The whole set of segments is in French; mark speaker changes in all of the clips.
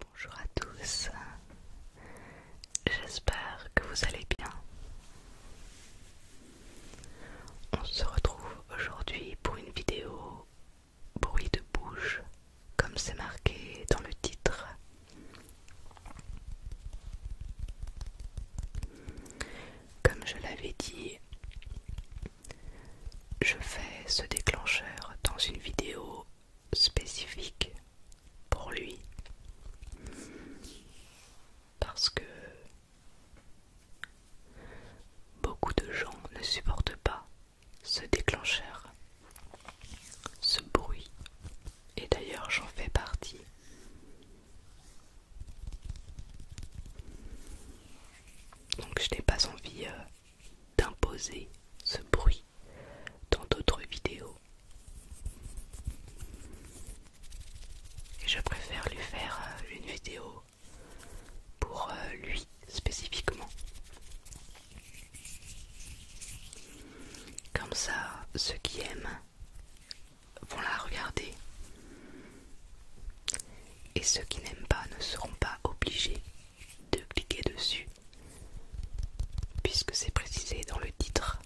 Speaker 1: Bonjour à tous, j'espère que vous allez bien. On se retrouve aujourd'hui pour une vidéo bruit de bouche, comme c'est marqué dans le titre. Comme je l'avais dit, je fais ce déclencheur dans une vidéo spécifique pour lui parce que beaucoup de gens ne supportent pas ce déclencheur, ce bruit, et d'ailleurs j'en fais partie. Donc je n'ai pas envie euh, d'imposer ce bruit dans d'autres vidéos. Et je préfère lui faire euh, une vidéo pour euh, lui spécifiquement. Comme ça, ceux qui aiment vont la regarder. Et ceux qui n'aiment pas ne seront pas obligés de cliquer dessus puisque c'est précisé dans le titre.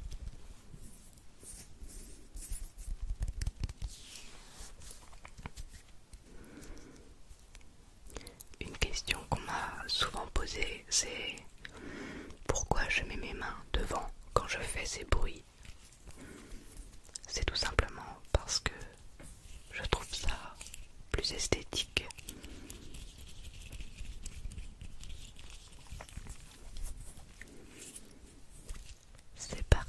Speaker 1: Une question qu'on m'a souvent posée, c'est pourquoi je mets mes mains devant quand je fais ces bruits. C'est tout simplement parce que je trouve ça plus esthétique. C'est parti.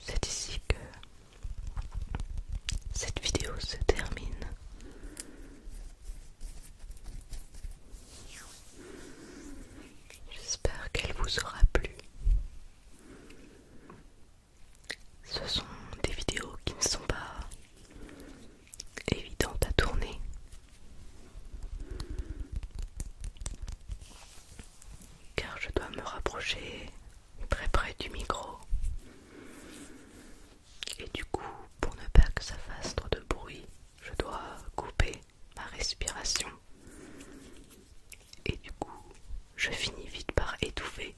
Speaker 1: C'est ici que cette vidéo se termine. J'espère qu'elle vous aura plu. Ce sont des vidéos qui ne sont pas évidente à tourner. Car je dois me rapprocher très près du micro. Et du coup, pour ne pas que ça fasse trop de bruit, je dois couper ma respiration. Et du coup, je finis vite par étouffer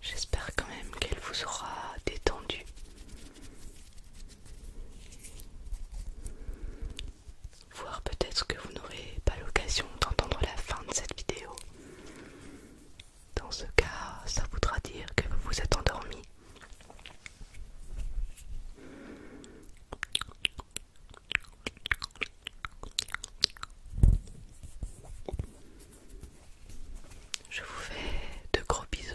Speaker 1: J'espère quand même qu'elle vous aura détendu. Voir peut-être que vous n'aurez pas l'occasion d'entendre la fin de cette vidéo. Dans ce cas, ça voudra dire que vous vous êtes endormi. Je vous fais de gros bisous.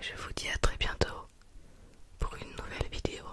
Speaker 1: Je vous dis à très bientôt pour une nouvelle vidéo.